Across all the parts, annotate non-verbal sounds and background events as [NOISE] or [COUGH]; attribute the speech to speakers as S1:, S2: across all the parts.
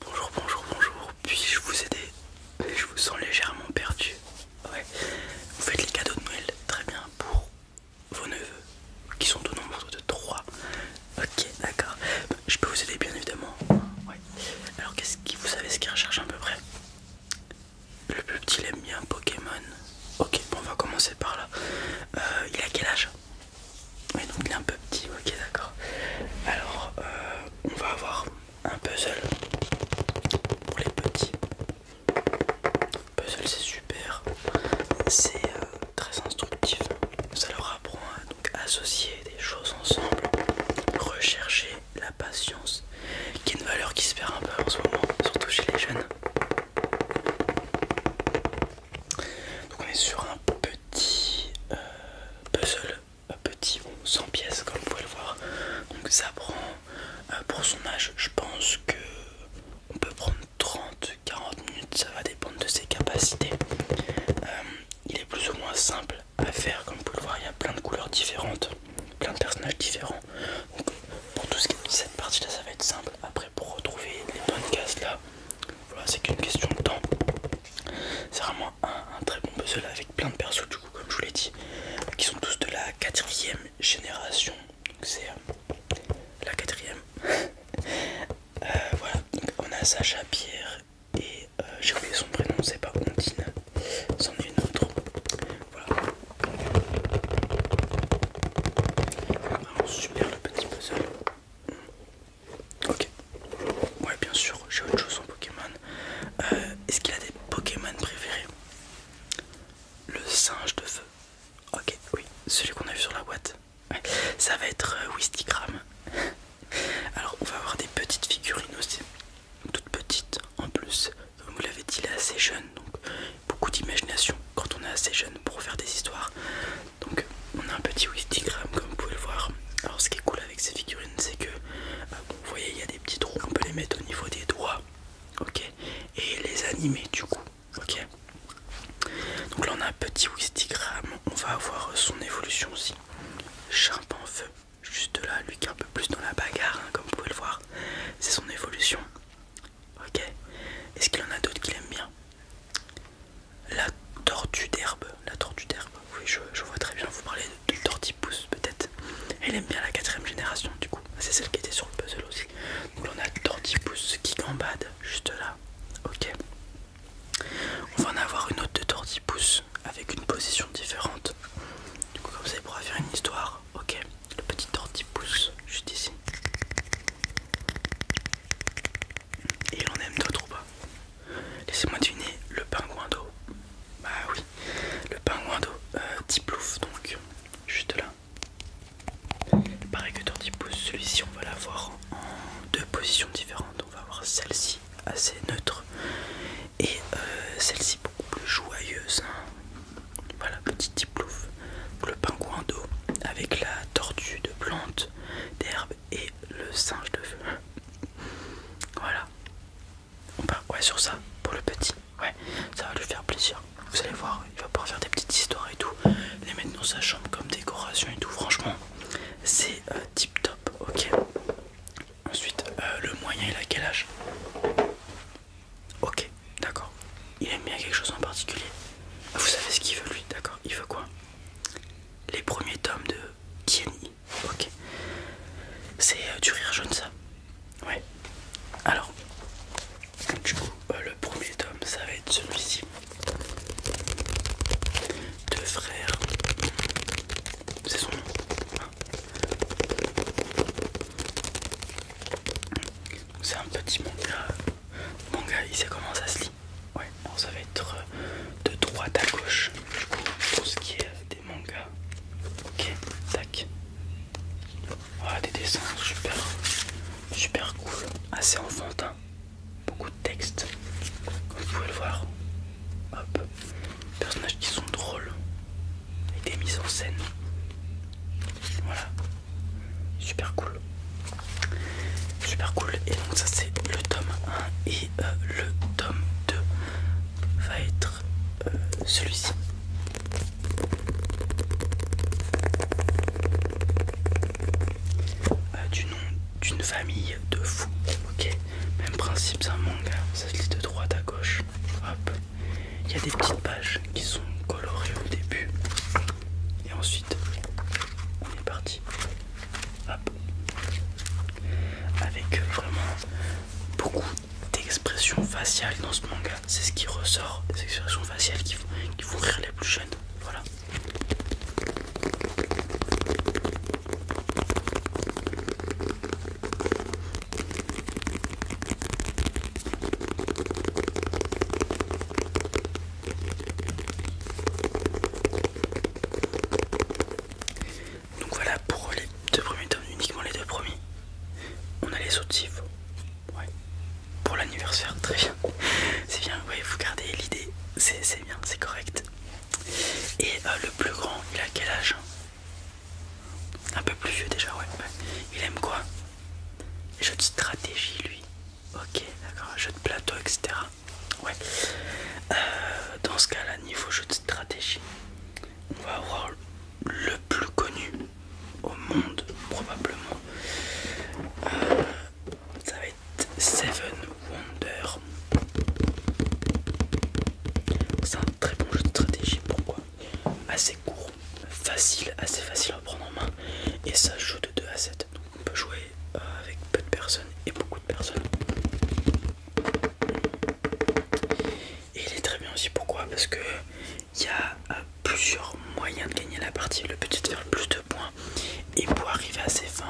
S1: Bonjour, bonjour, bonjour. Puis-je vous aider Je vous sens légèrement perdu. Ouais. Vous faites les cadeaux de Noël très bien pour vos neveux qui sont au nombre de 3. Ok, d'accord. Je peux vous aider bien évidemment. Ouais. Alors qu'est-ce qui vous savez ce qu'il recherche à peu près Le plus petit aime bien Pokémon. Ok, bon on va commencer par là. Euh, il a quel âge oui, donc il est un peu petit, ok, d'accord. Alors, euh, on va avoir un puzzle pour les petits. Puzzle, c'est super, c'est euh, très instructif. Ça leur apprend à associer des choses ensemble, rechercher la patience, qui est une valeur qui se perd un peu en ce moment, surtout chez les jeunes. Donc, on est sur un petit petit euh, puzzle, petit bon, 100 pièces comme vous pouvez le voir. Donc ça prend, euh, pour son âge, je pense que on peut prendre 30-40 minutes, ça va dépendre de ses capacités. Euh, il est plus ou moins simple à faire, comme vous pouvez le voir, il y a plein de couleurs différentes, plein de personnages différents. Donc pour tout ce qui cette partie là, ça va être simple. Après, pour retrouver les bonnes cases là, voilà, c'est qu'une question de temps. C'est vraiment un, très bon puzzle avec plein de persos, du coup, comme je vous l'ai dit, qui sont tous de la quatrième génération. donc C'est euh, la quatrième. [LAUGHS] Euh, voilà, donc on a Sacha, Pierre et euh, j'ai oublié son prénom, c'est pas Ondine, c'en est une autre. Voilà. Vraiment super le petit puzzle. Ok. Ouais, bien sûr, j'ai autre chose en Pokémon. Euh, est-ce qu'il a des Pokémon préférés Le singe de feu. Ok, oui, celui qu'on a vu sur la boîte. Ça va être whisky euh, Wistigram. [LAUGHS] Alors, on va avoir des petites figurines aussi. Toutes petites en plus. Comme vous l'avez dit, il est assez jeune, donc beaucoup d'imagination quand on est assez jeune pour faire des histoires. Donc on a un petit wistigram comme vous pouvez le voir. Alors ce qui est cool avec ces figurines c'est que euh, vous voyez il y a des petits trous, on peut les mettre au niveau des doigts, ok, et les animer du coup, ok. Donc là on a un petit wistigram, on va avoir son évolution aussi. Chimp en feu, juste là, lui qui est un peu plus dans la bagarre, hein, comme vous pouvez le voir, c'est son évolution. Ok. Est-ce qu'il en a d'autres qu'il aime bien La tortue d'herbe. La tortue d'herbe. Oui, je, vois très bien. Vous parlez de, tortue tortipousse peut-être. Elle aime bien la quatrième génération du coup. C'est celle qui était sur le puzzle aussi. Donc là, on a tortipousse qui gambade juste là. Ok. On va en avoir une autre de tortipousse avec une position différente. Du coup comme ça il pourra faire une histoire. Ok le petit tortipousse juste ici. Et il en aime d'autres ou pas Laissez-moi deviner, le pingouin d'eau. Bah oui, le pingouin d'eau, euh, type Tiplouf donc, juste là. Pareil que Tortipousse, celui-ci on va l'avoir en deux positions différentes. On va avoir celle-ci assez neutre et euh, celle-ci beaucoup plus joyeuse. Hein. Voilà, petit tip louf, Le pingouin d'eau avec la tortue de plantes, d'herbe et le singe de feu. Voilà. On part ouais, sur ça pour le petit. Ouais, ça va lui faire plaisir. Vous allez voir, il va pouvoir faire des petites histoires et tout. Les mettre dans sa chambre comme décoration et tout. Franchement, c'est euh, tip top. Ok. Ensuite, euh, le moyen, et a quel Ok, d'accord. Il aime bien quelque chose en particulier. Vous savez ce qu'il veut lui, d'accord Il veut quoi Les premiers tomes de Kimi. Ok. C'est euh, du rire jaune ça Ouais. Alors, du coup, euh, le premier tome, ça va être celui-ci. Deux frères. C'est son nom. C'est un petit manga. Manga, il sait comment ça se lit. Ouais, ça va être euh, de droite à gauche. Du coup, pour ce qui est euh, des mangas. Ok, tac. Voilà ah, des dessins super, super cool, assez enfantin. Beaucoup de textes, comme vous pouvez le voir. Hop, personnages qui sont drôles avec des mises en scène. Voilà, super cool. Super cool. Et donc ça c'est le tome 1 et euh, le tome 2 va être euh, celui-ci. Euh, du nom d'une famille de fous. Ok, même principe, c'est un manga. Ça se lit de droite à gauche. Hop il y a des petites pages qui sont colorées au début et ensuite on est parti avec vraiment beaucoup d'expressions faciales dans ce manga c'est ce qui ressort les expressions faciales qui font, qui font rire les plus jeunes voilà donc voilà pour les deux premiers tomes, uniquement les deux premiers. On a les autres Ouais. Pour l'anniversaire, très bien. [LAUGHS] C'est bien, vous gardez l'idée, c'est bien, c'est correct. Et euh, le plus grand, il a quel âge un peu plus vieux déjà, ouais. Il aime quoi Jeu jeux de stratégie, lui. Ok, d'accord. Jeu de plateau, etc. Ouais. Euh, dans ce cas-là, niveau jeu de stratégie, on va avoir le plus connu au monde, probablement. Euh, ça va être Seven Wonders c'est un très bon jeu de stratégie pourquoi assez court facile assez facile à prendre en main et ça joue de 2 à 7 donc on peut jouer euh, avec peu de personnes et beaucoup de personnes et il est très bien aussi pourquoi parce que il y a euh, plusieurs moyens de gagner la partie le c'est de faire le plus de points et pour arriver à ses fins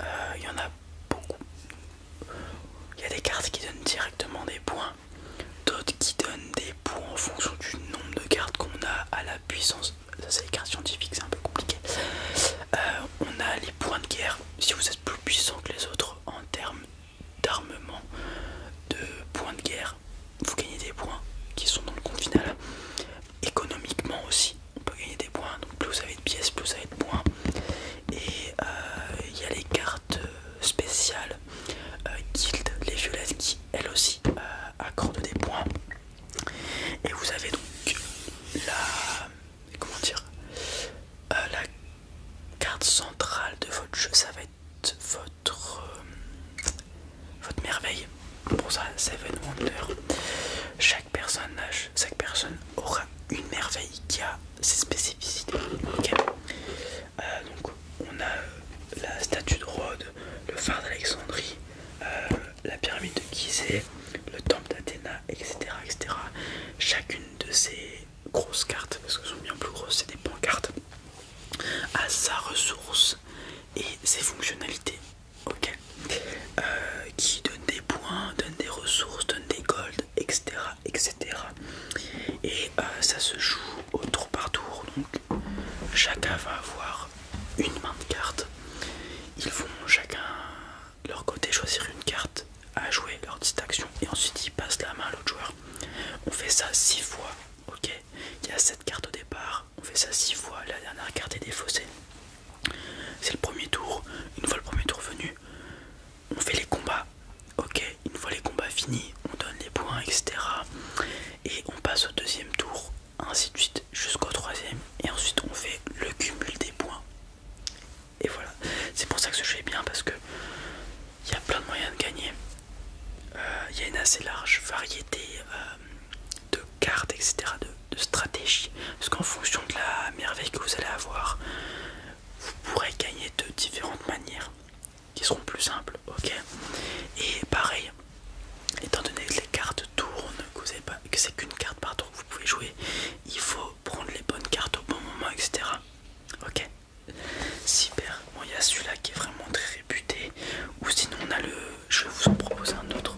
S1: euh, il y en a beaucoup il y a des cartes qui donnent directement des points, d'autres qui donnent des points en fonction du nombre de cartes qu'on a à la puissance. Ça, c'est les cartes scientifiques, c'est un peu compliqué. Euh, on a les points de guerre, si vous êtes plus puissant que les autres en termes d'armement, de points de guerre, vous gagnez des points qui sont dans le compte final. Économiquement aussi, on peut gagner des points, donc plus vous avez de pièces, plus vous avez de points. Et euh, il y a les cartes euh, spéciales euh, guild, les violettes qui elles aussi euh, accordent des points. Et vous avez donc la comment dire la carte centrale de votre jeu, ça va être votre votre merveille. Pour ça, Seven Chaque personnage, chaque personne aura une merveille qui a ses spécificités. Euh, donc on a euh, la statue de Rhodes, le phare d'Alexandrie, euh, la pyramide de Gizeh, le temple d'Athéna, etc., etc. Chacune de ces grosses cartes, parce que sont bien plus grosses, c'est des pancartes, a sa ressource et ses fonctionnalités euh, qui donne des points, donne des ressources, donne des gold, etc. etc. Et euh, ça se joue au tour par tour. Donc chacun va avoir une main de carte. Ils vont chacun de leur côté choisir une carte à jouer leur action. et ensuite ils passent la main à l'autre joueur. On fait ça six fois, ok Il y a sept cartes au départ, on fait ça 6 fois, la dernière carte des fossés C'est le premier tour, une fois le premier tour venu, on fait les combats, ok, une fois les combats finis, on donne les points, etc. Et on passe au deuxième tour, ainsi de suite, jusqu'au troisième, et ensuite on fait le cumul des points. Et voilà, c'est pour ça que ce jeu est bien parce que il y a plein de moyens de gagner. Euh, il y a une assez large variété euh, de cartes, etc., de, stratégie. Parce qu'en fonction de la merveille que vous allez avoir, vous pourrez gagner de différentes manières qui seront plus simples, ok Et pareil, étant donné que les cartes tournent, que, vous pas, que c'est qu'une carte par tour que vous pouvez jouer, il faut prendre les bonnes cartes au bon moment, etc. Ok Super. Bon, il y celui-là qui est vraiment très réputé. Ou sinon, on a le. Je vous en proposer un autre.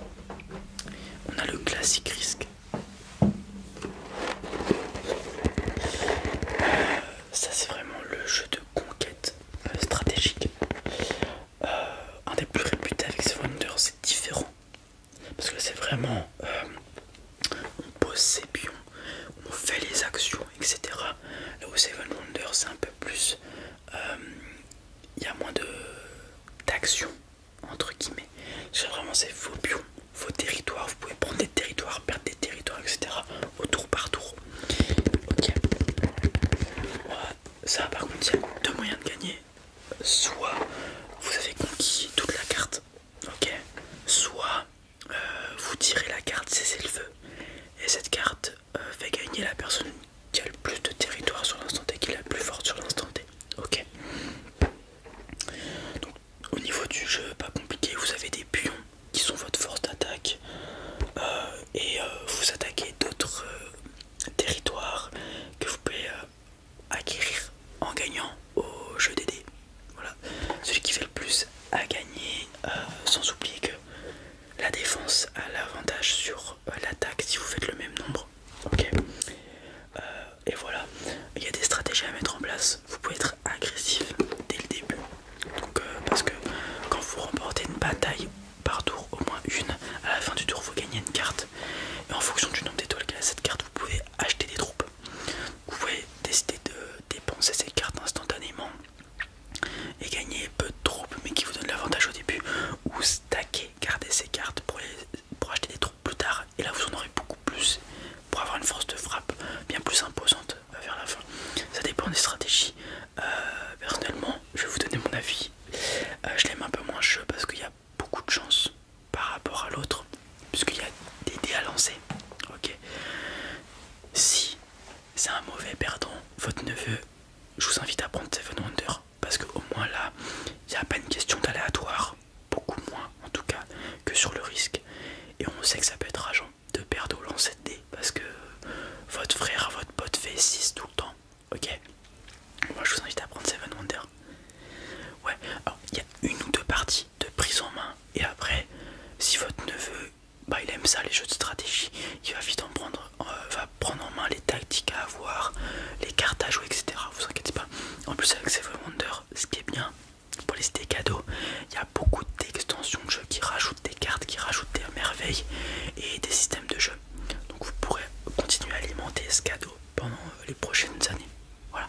S1: On a le classique risque. Euh, ça c'est vraiment le jeu de conquête euh, stratégique. Euh, un des plus réputés avec Seven Wonders, c'est différent. Parce que c'est vraiment... on pose ses pions, on fait les actions, etc. Là où Seven Wonders c'est un peu plus il y a moins de d'action entre guillemets. C'est vraiment c'est vos pions, vos territoires. Vous pouvez prendre des territoires, perdre des territoires, etc. Au tour par tour. Ok. Ça par contre, il y a deux moyens de gagner. Soit vous avez conquis toute la carte, ok. Soit euh, vous tirez la carte c'est le feu. Et cette carte, euh, fait gagner la personne qui a le plus de territoire sur l'instant T, qui est la plus forte sur l'instant T. Ok. Donc au niveau du jeu, pas compliqué, vous avez des pions qui sont votre force d'attaque euh, et euh, vous attaquez d'autres territoires que vous pouvez acquérir en gagnant au jeu des Voilà, celui qui fait le plus à gagner, sans oublier que la défense a l'avantage sur euh, l'attaque si vous faites le même nombre. Ok. Euh, et voilà. Il y a des stratégies à mettre en place. Vous pouvez être agressif dès le début. Euh, parce que quand vous remportez une bataille par tour, au moins une, à la fin du tour, vous gagnez une carte. Et en fonction du nombre d'étoiles y a cette carte, vous pouvez acheter des troupes. Vous pouvez décider de dépenser ces cartes instantanément et gagner peu de troupes mais qui vous donne l'avantage au début ou stacker, garder ses cartes pour, pour acheter des troupes plus tard et là vous en aurez beaucoup plus pour avoir une force de frappe bien plus imposante euh, vers la fin. Ça dépend des stratégies. Euh, personnellement, je vais vous donner mon avis. Euh, je l'aime un peu moins jeu parce qu'il y a beaucoup de chance par rapport à l'autre puisqu'il y a des dés à lancer. Ok. Si c'est un mauvais perdant, votre neveu. Je vous invite à prendre Seven Wonder parce qu'au moins là, il n'y a pas une question d'aléatoire, beaucoup moins en tout cas que sur le risque. Et on sait que ça peut être rageant de perdre au lancer de dés parce que votre frère, votre pote fait 6 tout le temps. Ok Moi je vous invite à prendre Seven Wonder. Ouais, alors il y a une ou deux parties de prise en main et après, si votre neveu bah, il aime ça les jeux de stratégie. Il va vite en prendre, euh, va prendre en main les tactiques à avoir, les cartes à jouer, etc. Vous inquiétez pas. En plus avec Seven Wonder, ce qui est bien pour les des cadeaux, il y a beaucoup d'extensions de jeux qui rajoutent des cartes, qui rajoutent des merveilles et des systèmes de jeu. Donc vous pourrez continuer à alimenter ce cadeau pendant euh, les prochaines années. Voilà.